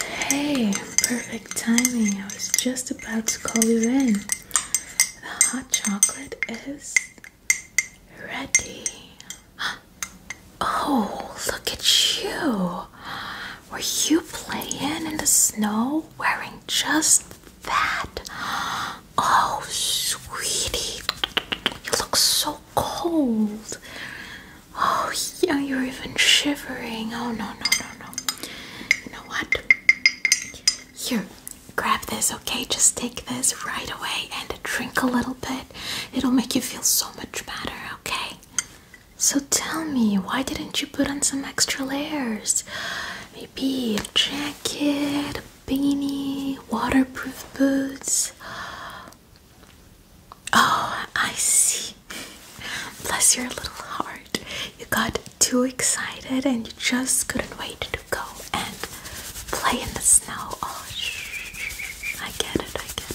Hey, perfect timing. I was just about to call you in. The hot chocolate is ready. Oh, look at you. Were you playing in the snow wearing just that? Oh, sweetie. You look so cold. Oh, yeah, you're even shivering. Oh, no, no, no, no. You know what? Here, grab this, okay? Just take this right away and drink a little bit. It'll make you feel so much better, okay? So tell me, why didn't you put on some extra layers? Maybe a jacket, beanie, waterproof boots. Oh, I see. Bless your little heart. You got too excited and you just couldn't wait to go and play in the snow. Oh, I get it. I get it.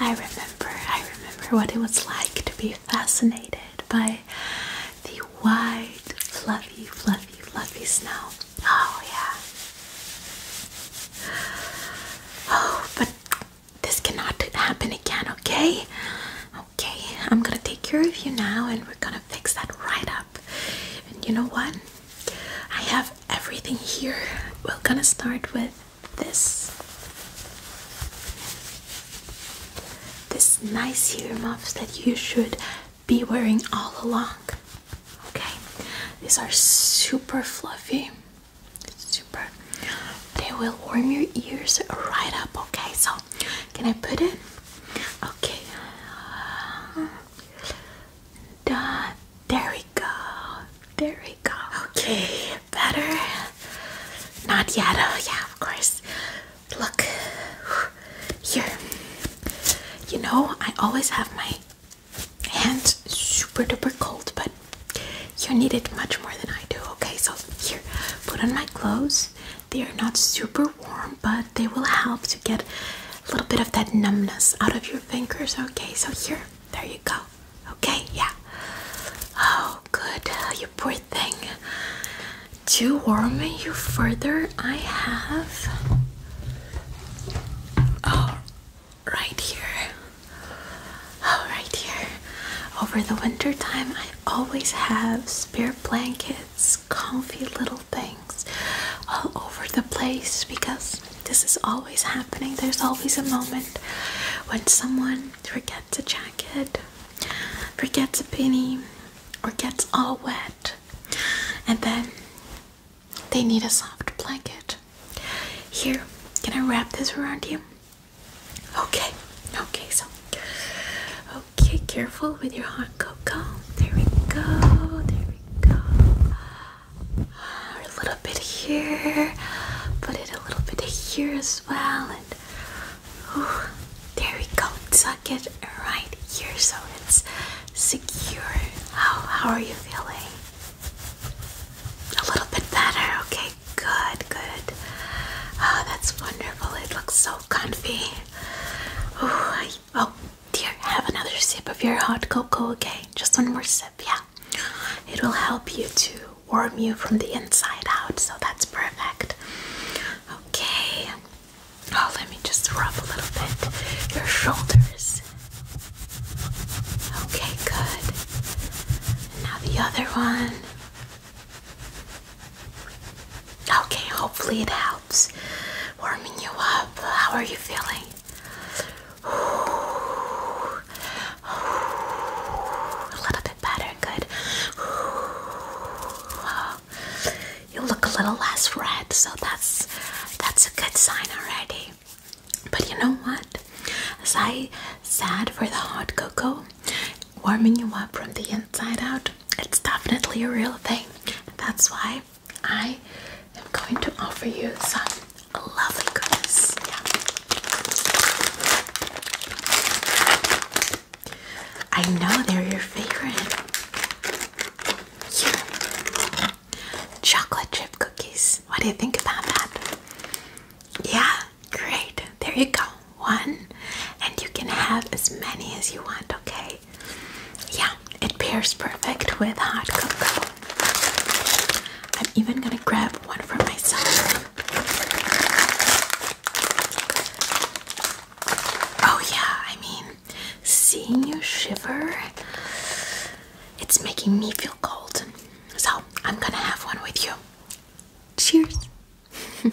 I remember. I remember what it was like to be fascinated by the white, fluffy, fluffy, fluffy snow. Oh, yeah. Oh, but this cannot happen again, okay? Okay, I'm gonna take care of you now and we're gonna fix that right up. And you know what? I have everything here. We're gonna start with this. This nice muffs that you should be wearing all along. Okay, these are super fluffy. Super. They will warm your ears right up. Okay, so can I put it? Okay. Uh, there we go. There we go. Okay, better. Not yet. Oh, yeah, of course. Look here. You know, I always have my hands super duper cold, but you need it much more than I do. Okay, so here, put on my clothes. They are not super warm, but they will help to get a little bit of that numbness out of your fingers. Okay, so here, there you go. Okay, yeah. Oh, good. You poor thing. To warm you further, I have Oh, right here. Oh, right here. Over the winter time, I always have spare blankets, comfy little things all over the place because this is always happening. There's always a moment when someone forgets a jacket, forgets a penny, or gets all wet and then they need a soft blanket. Here, can I wrap this around you? Okay, okay, so okay, careful with your hot cocoa. There we go, there we go. A little bit here, put it a little bit here as well, and there we go it right here so it's secure. How how are you feeling? A little bit better. Okay, good, good. Oh, that's wonderful. It looks so comfy. Ooh, oh dear, have another sip of your hot cocoa, okay? Just one more sip, yeah. It will help you to warm you from the inside out, so that's perfect. Okay. Oh, let me just rub a little bit your shoulders. Okay, good. And now the other one. Okay, hopefully it helps. Warming you up. How are you feeling? A little bit better. Good you look a little less red, so that's that's a good sign already. But you know what? As I said for the hot cocoa, warming you up from the inside out, it's definitely a real thing. That's why I am going to offer you some lovely goodness. I know they're your favorite. Chocolate chip cookies. What do you think about that? Yeah, great. There you go. One. And you can have as many as you want, okay? Yeah, it pairs perfect with hot cocoa. I'm even gonna grab one for myself. Oh, yeah, I mean, Seeing you shiver, it's making me feel cold. So I'm gonna have one with you. Cheers.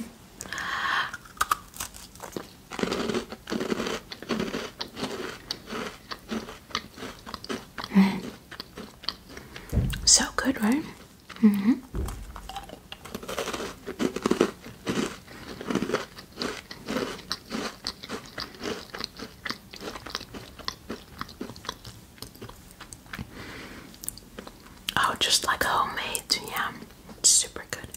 So good, right? Mm -hmm. Oh, just like homemade, yeah, super good.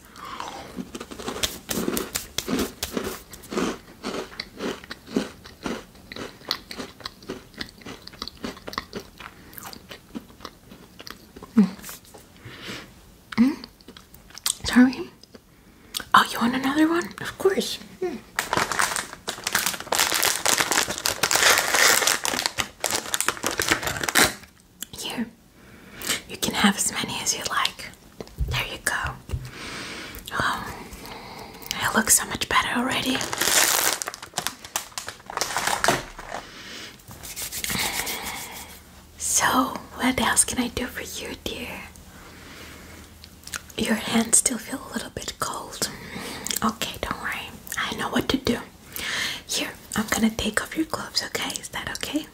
Mm. mm. Sorry. Oh, you want another one? Of course. Hmm. Here, you can have as many as you like. There you go. Oh, it looks so much better already. So, what else can I do for you, dear? Your hands still feel a little bit cold. Okay, don't worry. I know what to do. Here, I'm gonna take off your gloves, okay? Is that okay?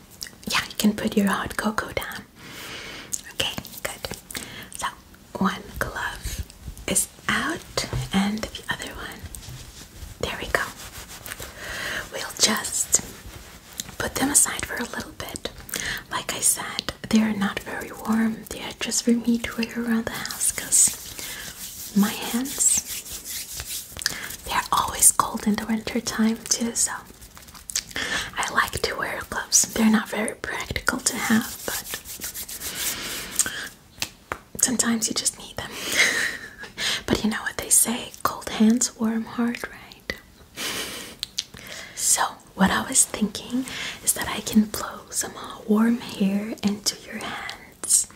Yeah, you can put your hot cocoa down. Okay, good. So, one glove is out, and the other one there we go. We'll just put them aside for a little bit. Like I said, they are not very warm. They are just for me to wear around the house because my hands, they are always cold in the winter time too. So I like to wear gloves. They're not very practical to have, but sometimes you just need them. but you know what they say cold hands, warm heart, right? So, what I was thinking is that I can blow some uh, warm hair into your hands.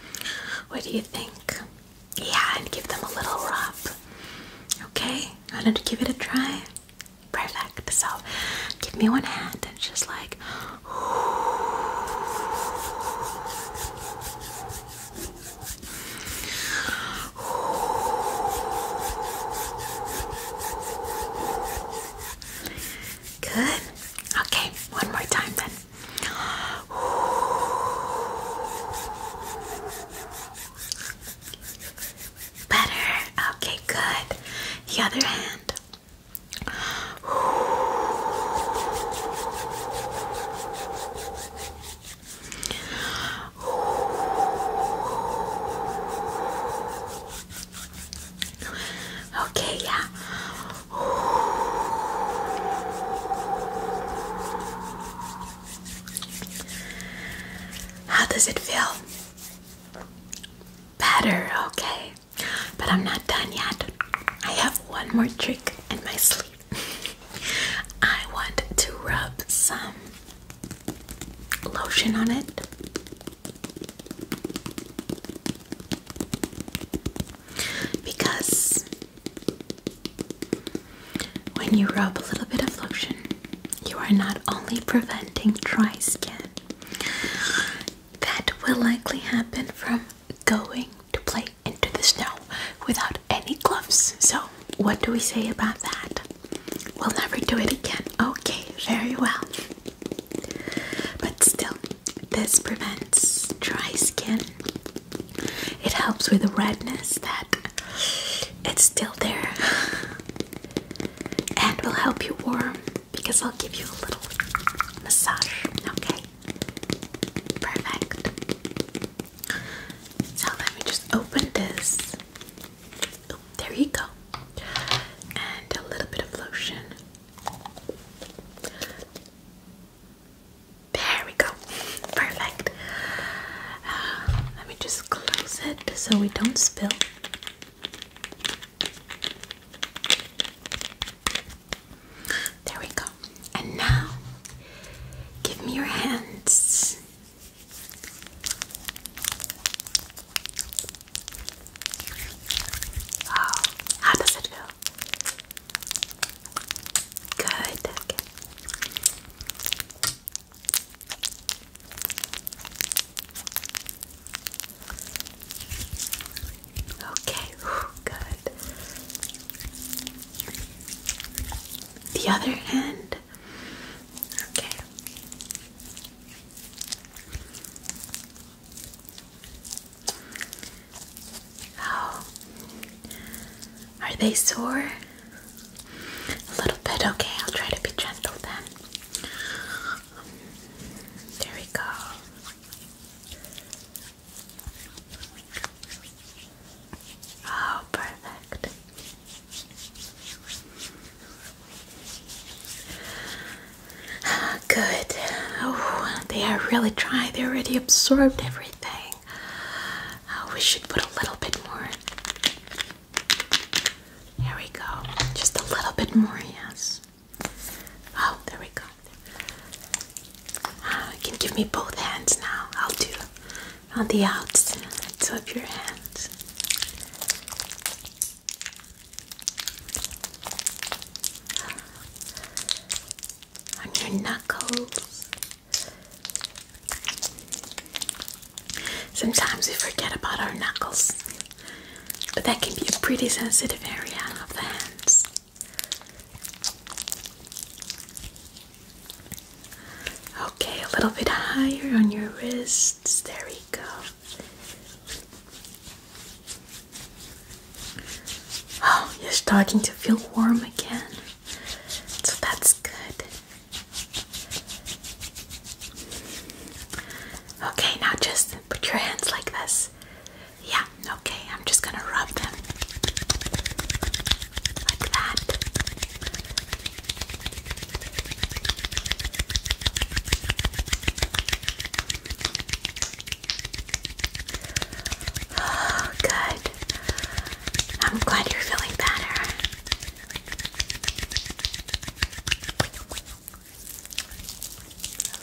What do you think? Yeah, and give them a little rub. Okay, I wanted to give it a try. Perfect. So, give me one hand and just like. Good. Okay, one more time then. Better. Okay, good. The other hand. Okay, yeah. How does it feel? Better, okay. But I'm not done yet. I have one more trick in my sleeve. I want to rub some lotion on it. Because when you rub a little bit of lotion, you are not only preventing dry skin that will likely happen from going to play into the snow without any gloves. So, what do we say about that? We'll never do it again. Okay, very well. But still, this prevents dry skin. It helps with the redness that it's still there. And will help you warm because I'll give you a little massage. Okay. Perfect. So let me just open this. Oh, there you go. And a little bit of lotion. There we go. Perfect. Uh, let me just close it so we don't spill. There we go. And now, give me your hands. Oh, how does it feel? Good. Okay. Okay, good. The other end. Okay. Oh. Are they sore? A little bit. Okay, I'll try to be gentle then. There we go. Oh, perfect. Good. Oh, they are really dry. They already absorbed everything. Oh, we should put a little bit more. There we go. Just a little bit more, yes. Oh, there we go. Uh, you can give me both hands now. I'll do on the outs of your hands. On your knuckles. Sometimes we forget about our knuckles, but that can be a pretty sensitive area of the hands. Okay, a little bit higher on your wrists. There we go. Oh, you're starting to feel warm again. So that's good. Okay, now just put your hands like this yeah, okay, I'm just gonna rub them like that. Oh, good. I'm glad you're feeling better.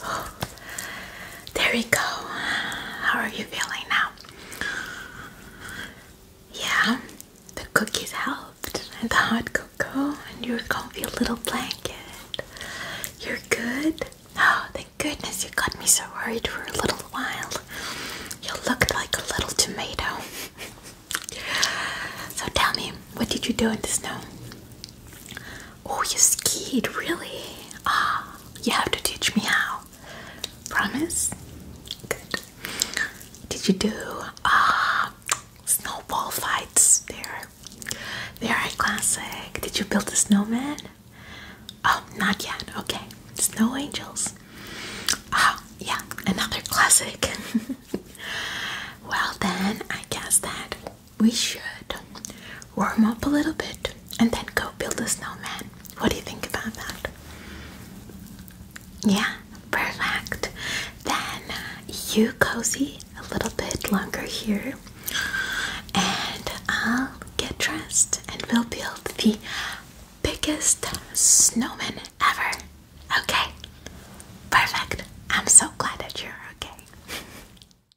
There we go. How are you feeling now? Yeah, the cookies helped, and the hot cocoa, and your comfy little blanket. You're good? Oh, thank goodness you got me so worried for a little while. You looked like a little tomato. so tell me, what did you do in the snow? Oh, you skied, really? Ah, you have to teach me how. Promise? Good. Did you do ah snowball fights? There, are a classic. Did you build a snowman? Oh, not yet. Okay, snow angels. Ah, oh, yeah, another classic. well then, I guess that we should warm up a little bit and then go build a snowman. What do you think about that? Yeah, perfect. Then uh, you cozy a little bit longer here, and I'll get dressed and we'll build the biggest snowman ever. Okay, perfect. I'm so glad that you're okay.